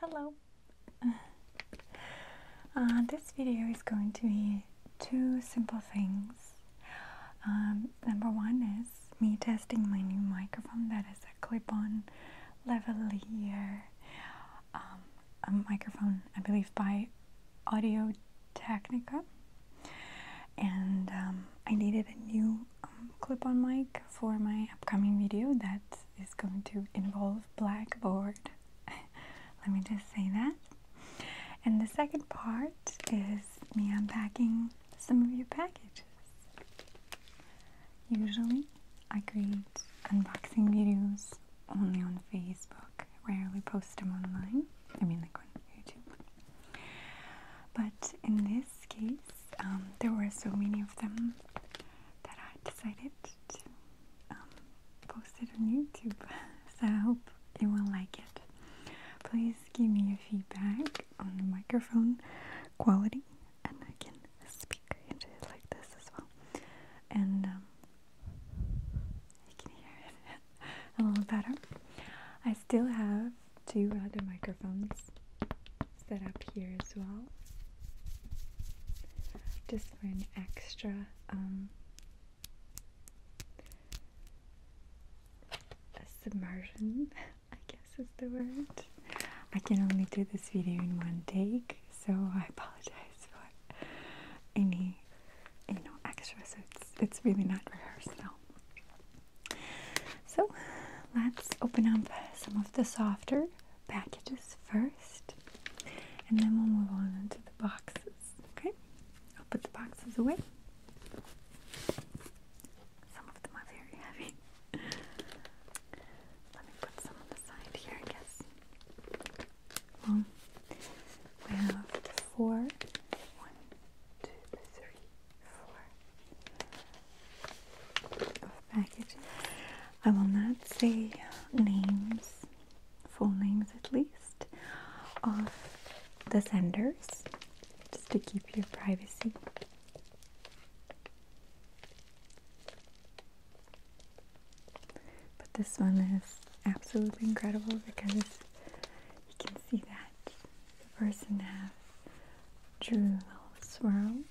Hello! Uh, this video is going to be two simple things. Um, number one is me testing my new microphone that is a clip-on lavalier um, microphone, I believe by Audio Technica and um, I needed a new clip-on mic for my upcoming video that is going to involve blackboard. Let me just say that. And the second part is me unpacking some of your packages. Usually, I create unboxing videos only on Facebook. Rarely post them online. I mean, like on YouTube. But in this case, um, there were so many of them that I decided to um, post it on YouTube. so I hope you will like it. Please give me your feedback on the microphone quality, and I can speak into it like this as well. And um, you can hear it a little better. I still have two other microphones set up here as well just for an extra um, submersion I guess is the word I can only do this video in one take so I apologize for any you know extra so it's, really not rehearsed so let's open up some of the softer packages first, and then we'll move on to the boxes. Okay, I'll put the boxes away. Some of them are very heavy. Let me put some on the side here, I guess. Well, we have four. One, two, three, four, I will not say names, full names at least, of the senders just to keep your privacy. But this one is absolutely incredible because you can see that the person has drew little swirls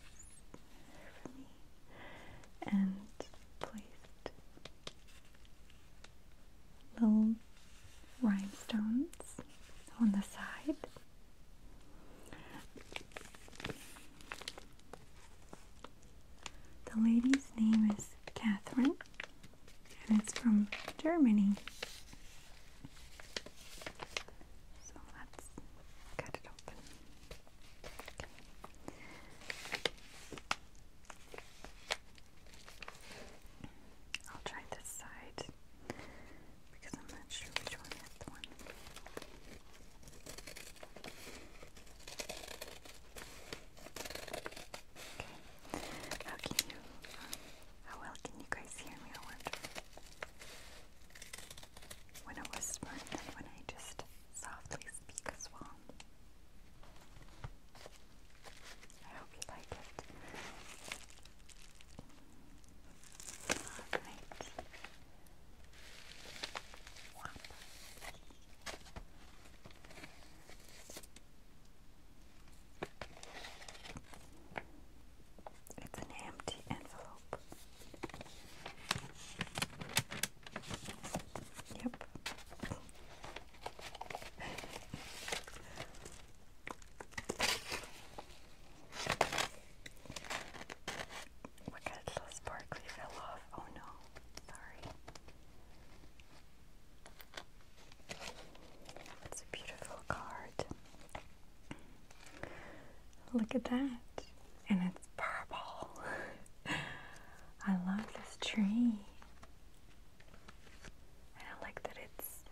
and placed little rhinestones on the side. The lady's name is Catherine and it's from Germany. So let's cut it open. I'll try this side because I'm not sure which one is the one. Okay. How can you? how well can you guys hear me? when I whisper and when I just softly speak as well. I hope you like it. Alright. It's an empty envelope. Yep. Look oh at it, so fell off. Oh no, sorry. It's a beautiful card. Look at that. And it's purple. I love this tree. I like that it's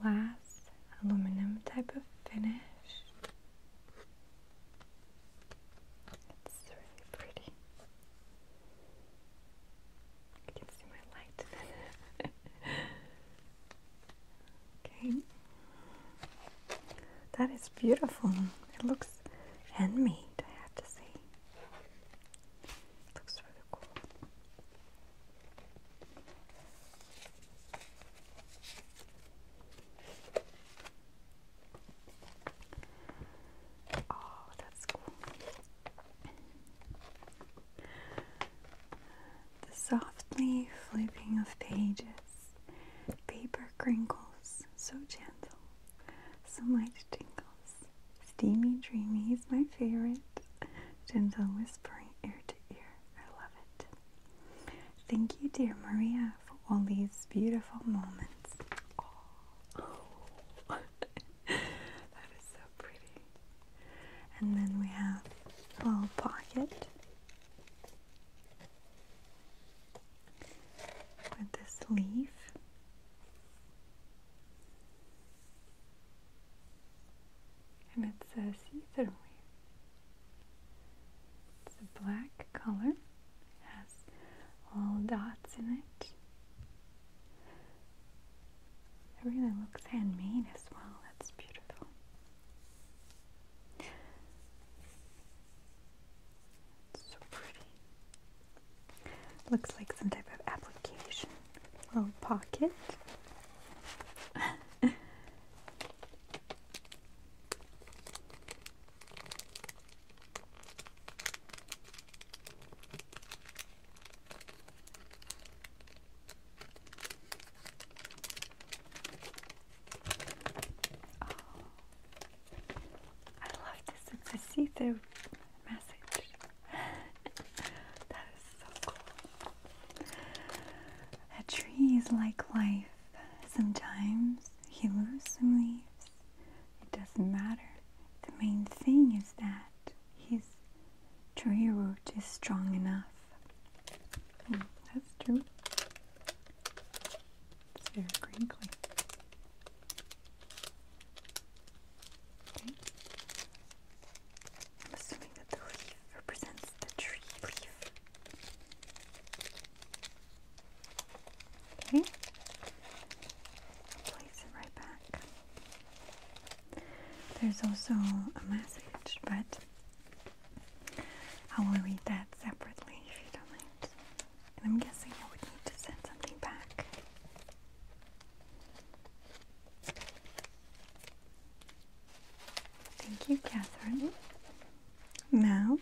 glass, aluminum type of finish. It's really pretty. You can see my light. Okay. That is beautiful. It looks handmade, I have to say. looks really cool. Oh, that's cool the softly flipping of pages, paper crinkles, so gentle, so light tingles. Steamy Dreamy is my favorite, gentle whispering ear to ear. I love it. Thank you, dear Maria, for all these beautiful moments. oh. that is so pretty and then we have a little pocket with this leaf. And it says "Ethereal." It's a black color, it has little dots in it. It really looks handmade as well. That's beautiful so pretty. Looks like some type of application. Little pocket. Oh, I love this. It's see-through message. that is so cool. A tree is like life. Sometimes he loses some leaves. It doesn't matter. The main thing is that his tree root is strong enough that's true. very crinkly. Okay. assuming that the leaf represents the tree leaf. Okay. Place it right back. There's also a message, but I will read that separately if you don't mind. And I'm guessing I would need to send something back. Thank you, Catherine. Now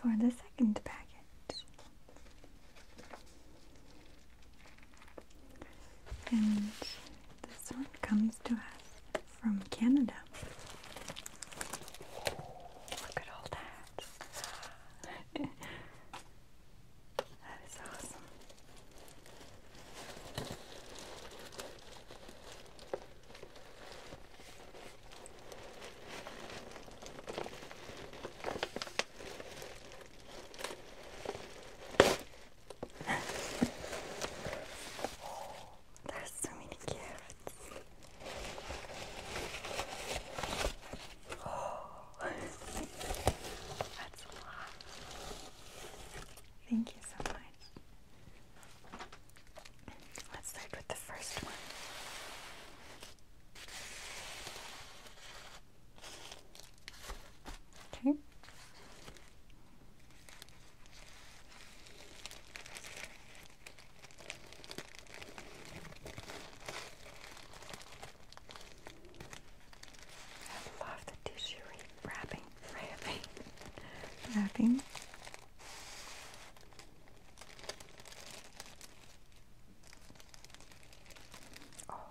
for the second package. And this one comes to us from Canada. Look at all that. that is awesome there's so many carrots. Oh. that's a lot. Thank you so much. Let's start with the first one. Okay. I love the tissue wrapping, wrapping, wrapping. Oh wow.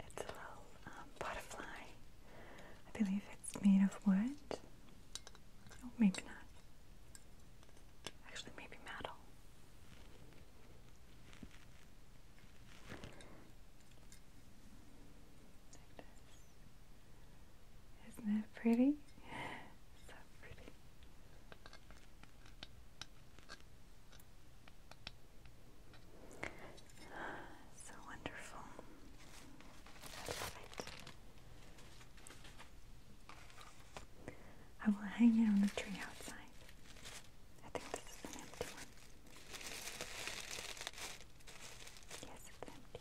It's a little um, butterfly. I believe it's made of wood. Oh, maybe not. Actually, maybe metal. Isn't that pretty? so pretty. So wonderful. I love it. I will hang it on the tree outside. I think this is an empty one. Yes, it's empty.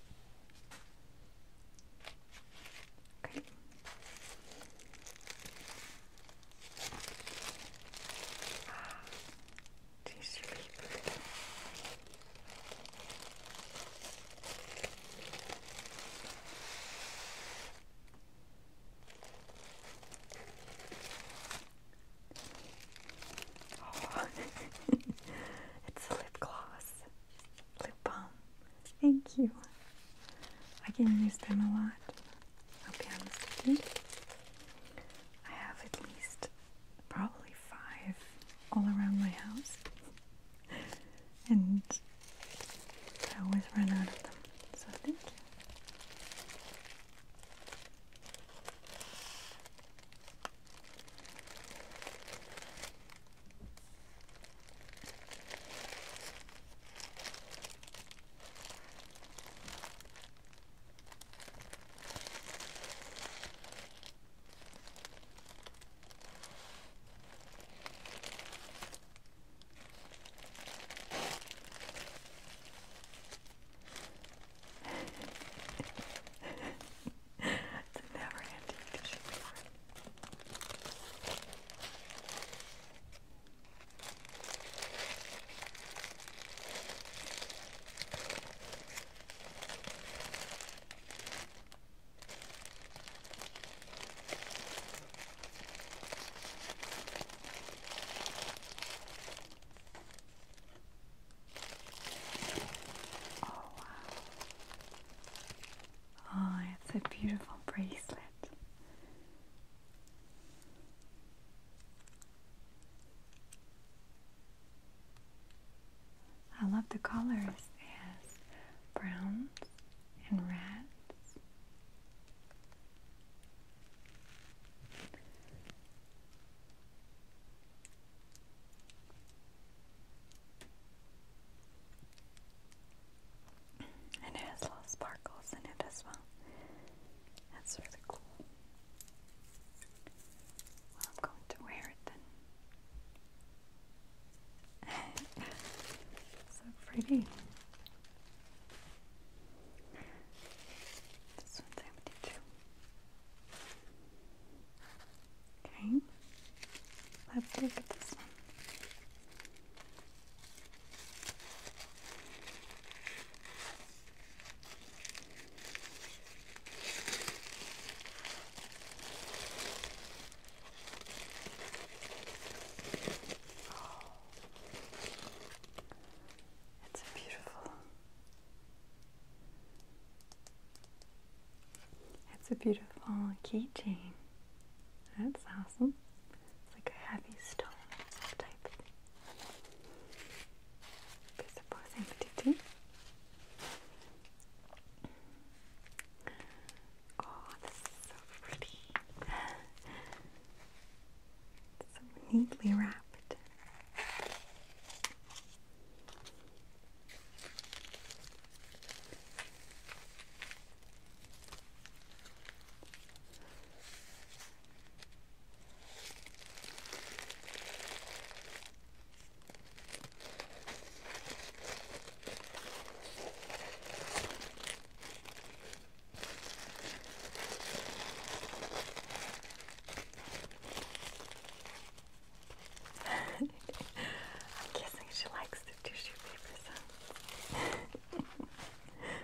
Okay. Do you sleep? Oh. it's a lip gloss, lip balm. Thank you. I can use them a lot i have at least probably five all around my house. and I always run out of them. So it's a never ending tissue paper. Oh, wow. Oh, it's a beautiful bracelet. I love the colors. It has and reds. And it has little sparkles in it as well. That's really cool. I'm going to wear it then. so pretty. This one's empty too. Okay, let's look at this one. It's beautiful. It's a beautiful keychain. That's awesome. It's like a heavy stone type piece of posing tutu. Oh, this is so pretty. so neatly wrapped. I'm guessing she likes the tissue paper sounds.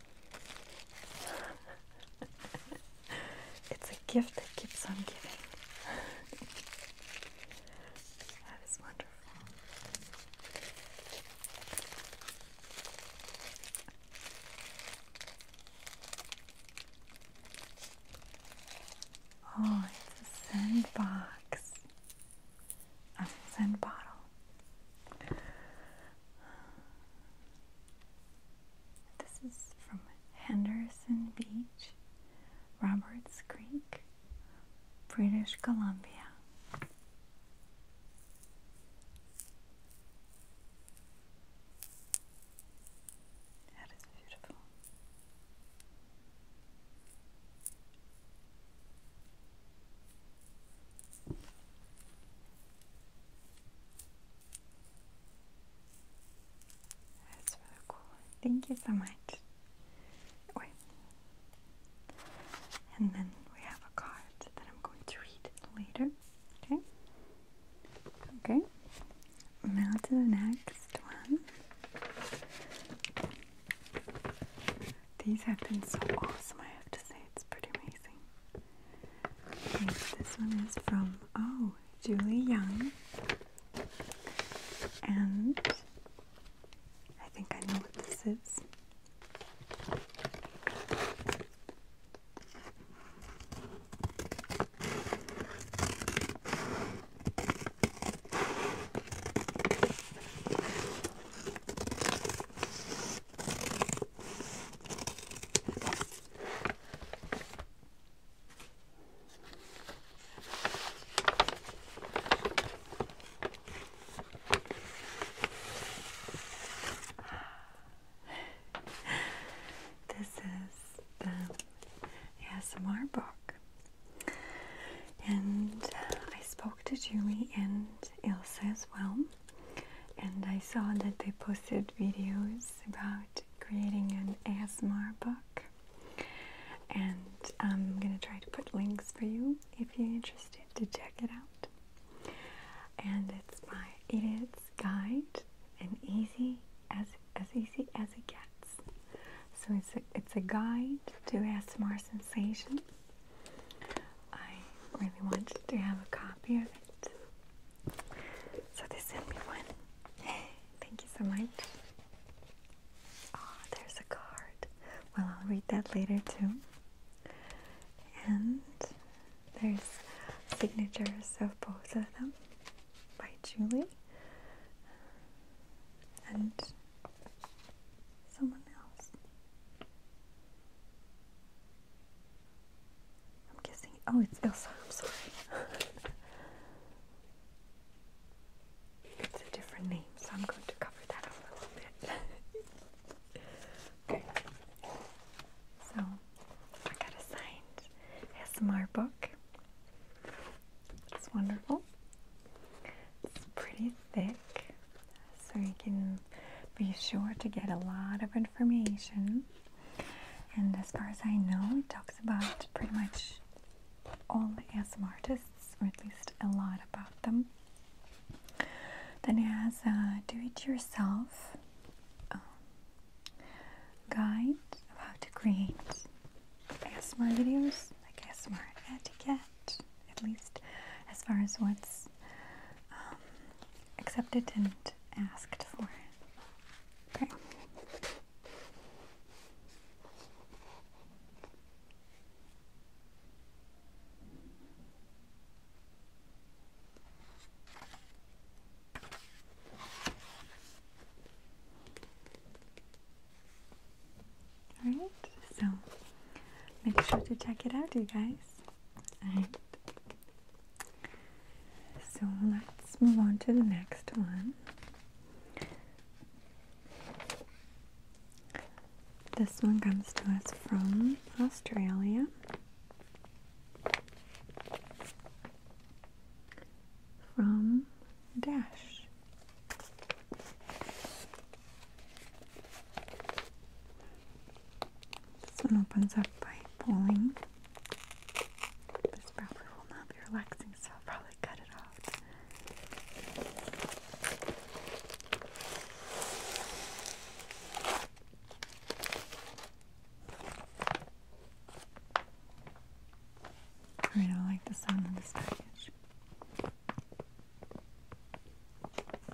it's a gift that keeps on giving. that is wonderful. Oh, it's a sandbox. A sand bottle. This is from Henderson Beach, Roberts Creek, British Columbia. That is beautiful. That's really cool. Thank you so much. And then we have a card that I'm going to read later. Okay? Okay. Now to the next one. These have been so awesome, I have to say. It's pretty amazing. Okay, this one is from oh Julie Young, and I think I know what this is. This is the ASMR book. And uh, I spoke to Julie and Ilse as well and I saw that they posted videos about creating an ASMR book. And I'm gonna try to put links for you if you're interested to check it out. And it's my idiot's guide and easy as as easy as it gets. So it's a it's a guide to ASMR sensations. I really wanted to have a copy of it so they sent me one. Thank you so much. Oh, there's a card. Well, I'll read that later too. And there's signatures of both of them by Julie and someone else. I'm guessing. Oh, it's Elsa. I'm sorry. it's a different name, so I'm going to cover that up a little bit. okay. So, I got a signed SMR book. It's wonderful. It's pretty thick so you can be sure to get a lot of information. And as far as I know, it talks about pretty much all the ASM artists, or at least a lot about them. Then it has a do it yourself um, guide about how to create ASMR videos, like ASMR etiquette, at least as far as what's um, accepted and asked for. Okay. Alright, so make sure to check it out, you guys. Alright. So let's move on to the next one. This one comes to us from Australia. From Dash. This one opens up by pulling. This probably will not be relaxing, so I'll probably cut it off. I don't like the sound of this package.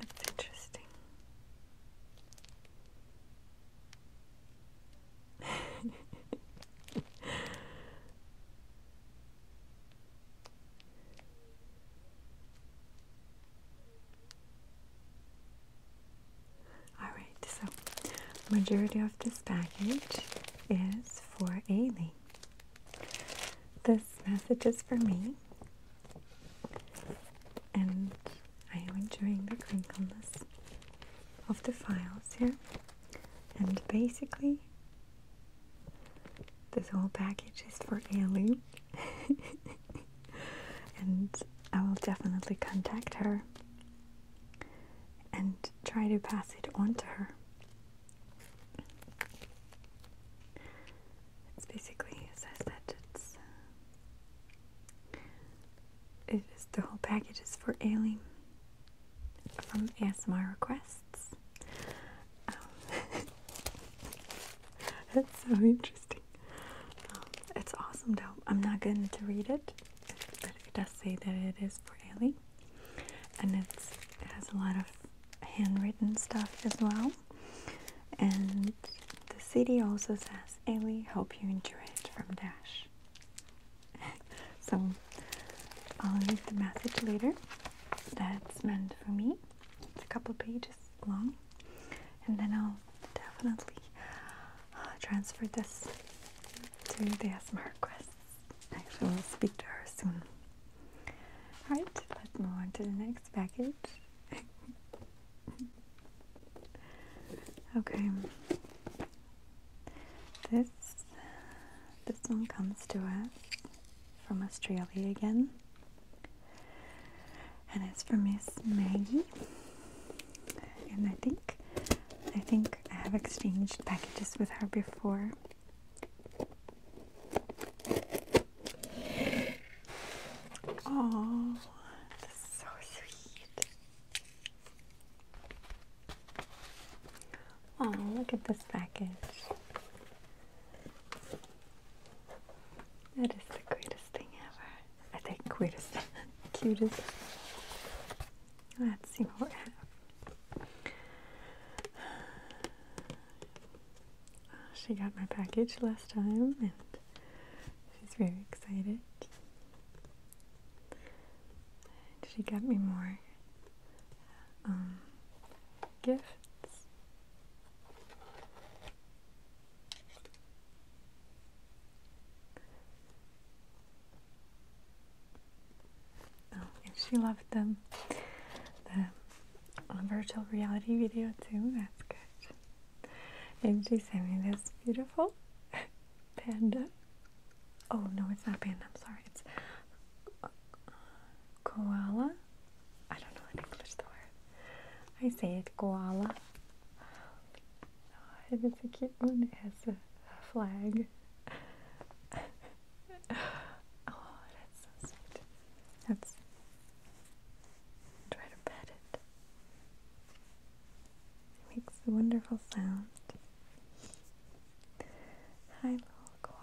That's interesting. Alright, so majority of this package is for Ailey. This message is for me. And are you enjoying the crinkleness of the files here. And basically, this whole package is for Aileen. and I will definitely contact her and try to pass it on to her. It's basically, as I said, it's it is the whole package is for Aileen from ASMR requests. Um, that's so interesting. Um, it's awesome though. I'm not going to read it, but it does say that it is for Aileen, and it has a lot of handwritten stuff as well. And the CD also says course, Hope you enjoy it from Dash. so I'll leave the message later. That's meant for me. It's a couple pages long, and then I'll definitely uh, transfer this to Dash ASMR requests. Actually, we'll speak to her soon. Alright, let's move on to the next package. okay. This this one comes to us from Australia again. And it's from Miss Maggie. And I think I think I have exchanged packages with her before. Oh, that's so sweet. Oh, look at this package. That is the greatest thing ever. I think greatest, cutest. Let's see what She got my package last time and she's very excited. She got me more um, gifts. Oh, she loved them. The um, virtual reality video too. That's good and she sent me this beautiful panda. Oh no, it's not panda. I'm sorry. It's uh, koala. I don't know in English the word. I say it koala. Oh, it's a cute one. It has a flag. oh, that's so sweet. That's try to pet it. It makes a wonderful sound. Hi, little koala.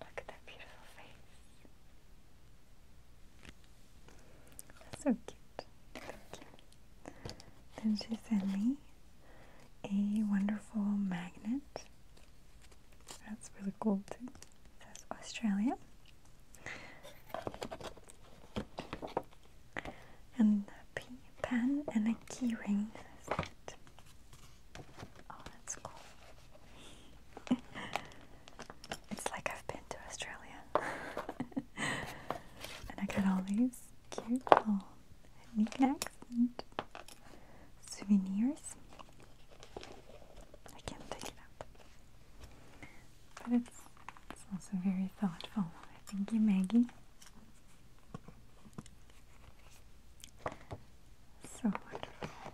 Look at that beautiful face. That's so cute. Thank you. Then she sent me a wonderful magnet. That's really cool too. says Australia. And a pen and a keyring. Oh, that's cool. It's like I've been to Australia. and I got all these cute little knickknacks and souvenirs. I can't take it up. But it's, it's also very thoughtful. Thank you, Maggie. So wonderful.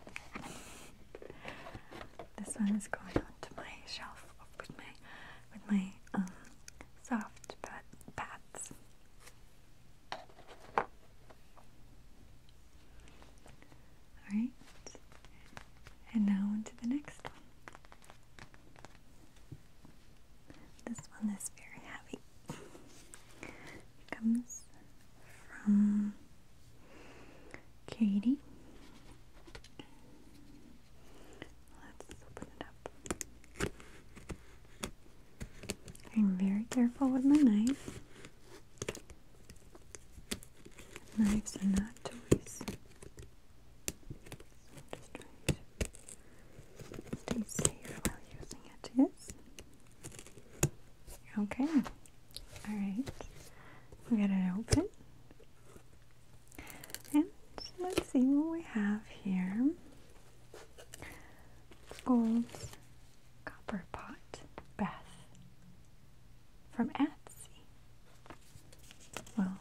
This one is going on to my shelf with my with my um, soft pad pads. All right, and now on to the next one. This one is very heavy. comes from Katie. Let's open it up. I'm very careful with my knife. Knives are not toys. So I'm just trying to stay safe while using it. Yes. Okay. Alright. We got it open. And let's see what we have here. Gold's Copper Pot Bath from Etsy. Well,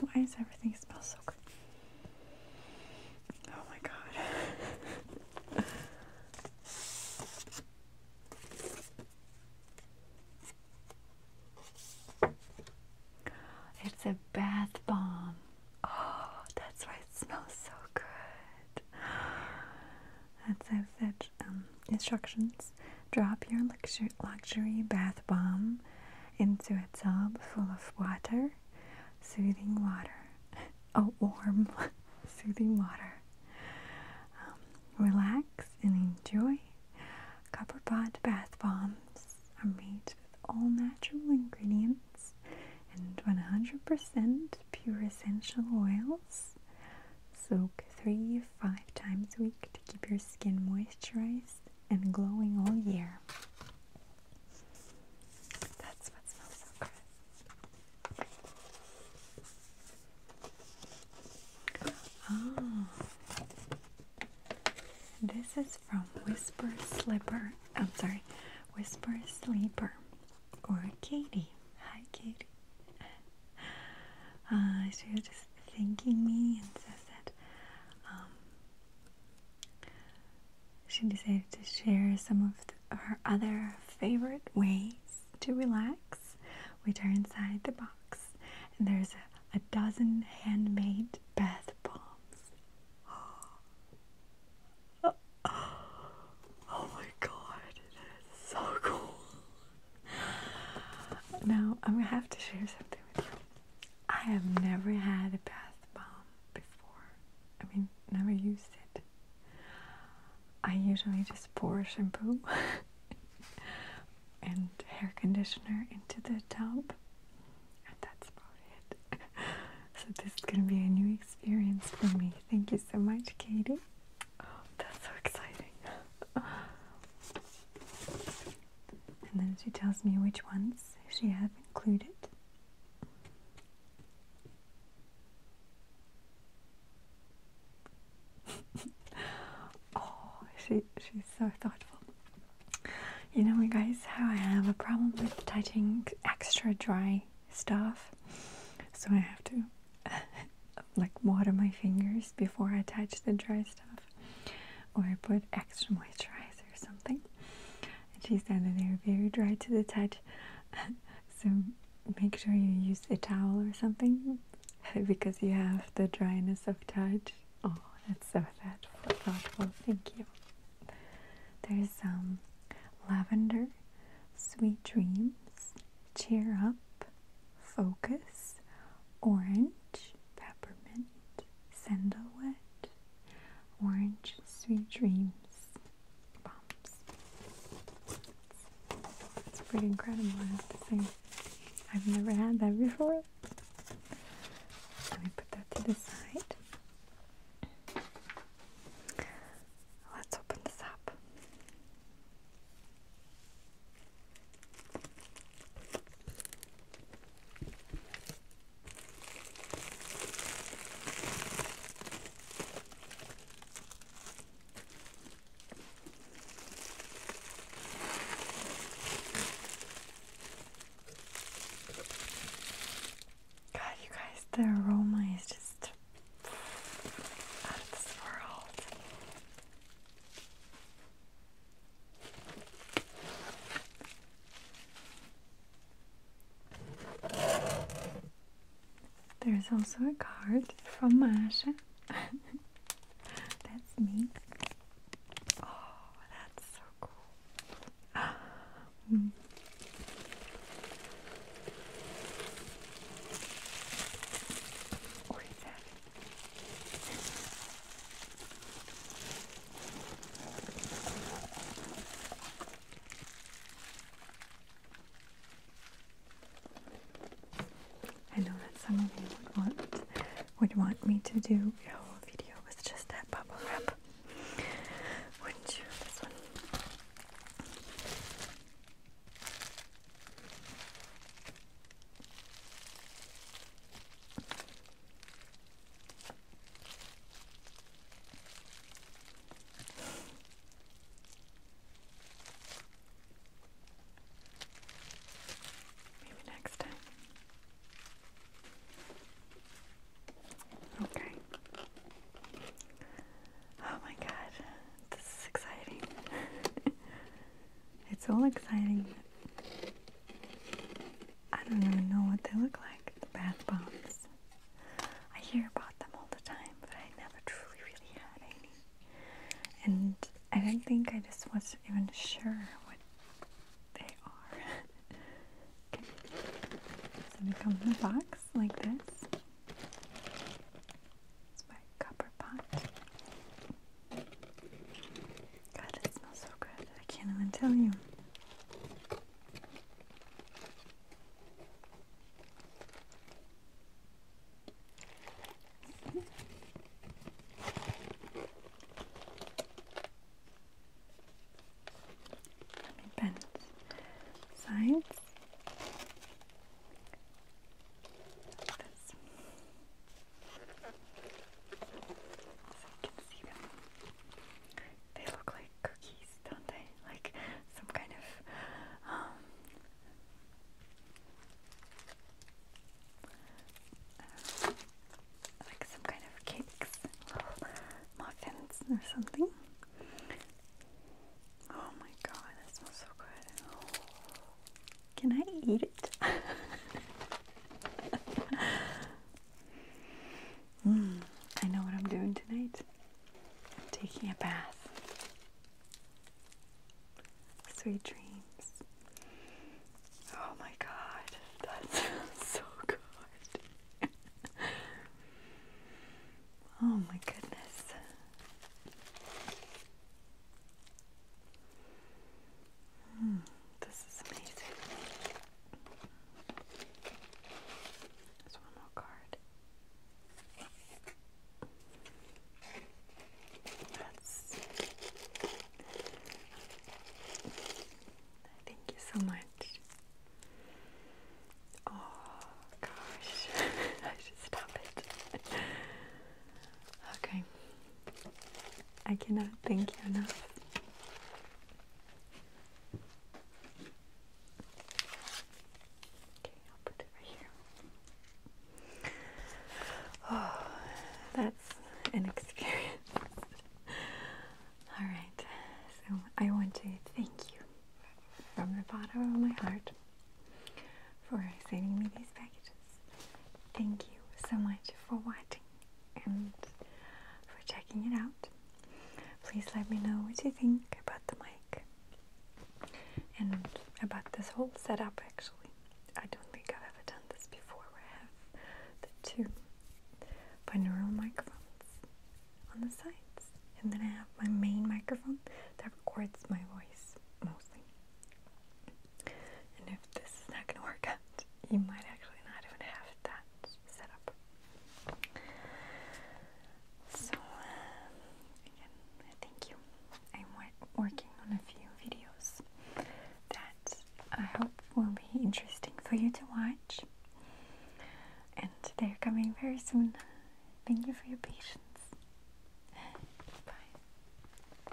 why does everything smell so good? Oh my god. it's a bath bomb. Oh, that's why it smells so good. That says that um, instructions drop your luxury, luxury bath bomb into a tub full of water, soothing water, a warm, soothing water. Um, relax and enjoy. Copper Pot bath bombs are made with all natural ingredients and 100% pure essential oils. Soak three, five times a week to keep your skin moisturized and glowing all year. That's what smells so good. Oh, this is from Whisper Slipper. I'm sorry, Whisper Sleeper or Katie. Hi, Katie. Uh, ah, you're just thanking me and says that um, she decided to share some of her other favorite ways to relax, which are inside the box. And there's a, dozen handmade bath bombs. Oh, my god, that's so cool! Now I'm gonna have to share something with you. I have never had a bath bomb before. I mean, never used it. I usually just pour shampoo and hair conditioner into the tub, and that's about it. so, this is going to be a new experience for me. Thank you so much, Katie. Oh, that's so exciting. and then she tells me which ones she has included. oh, she she's so thoughtful. You know, you guys, how I have a problem with touching extra dry stuff, so I have to like water my fingers before I touch the dry stuff or put extra moisturizer or something. And she said that they're very dry to the touch, so make sure you use a towel or something because you have the dryness of touch. Oh, that's so thoughtful. thoughtful. Thank you. There's some um, lavender, sweet dreams, cheer up, focus, orange, peppermint, sandalwood, orange, sweet dreams, bombs. It's pretty incredible, I have to say. I've never had that before. Let me put that to the side. Let's open this up. God, you guys, the aroma is just out of this world. There's also a card from Masha. that's me. Oh, that's so cool. mm. I know that some of you would want would want me to do a whole video with just that bubble wrap. Wouldn't you? Maybe next time. Okay. Oh my god, this is exciting. it's so exciting. I don't even know what they look like, the bath bombs. I hear about them all the time, but I never truly really had any. And I don't think I just was not even sure what they are. So they come in a box like this. It's my copper pot. God, it smells so good. I can't even tell you. Let me bend sides. this. They look like cookies, don't they? Like some kind of um, like some kind of cakes, muffins or something. Oh my god, that smells so good. Can I eat it? Mm, I know what I'm doing tonight. I'm taking a bath. Sweet dreams. Oh my god, that sounds so good. oh my goodness. Hmm, this is amazing. There's one more card. That's Thank you so much. Oh gosh, I should stop it. okay, I cannot thank you enough. Okay, I'll put it right here. Oh, that's an experience. All right, so I want to thank you from the bottom of my heart for sending me these packages. Thank you so much for watching and for checking it out. Please let me know what you think about the mic and about this whole setup actually. I don't think I've ever done this before where I have the two binaural microphones on the sides and then I have my main microphone that records my voice mostly. And if this is not going to work out, you might actually not even have that set up. So, um, again, thank you. I'm working on a few videos that I hope will be interesting for you to watch. And they're coming very soon. Thank you for your patience. Bye.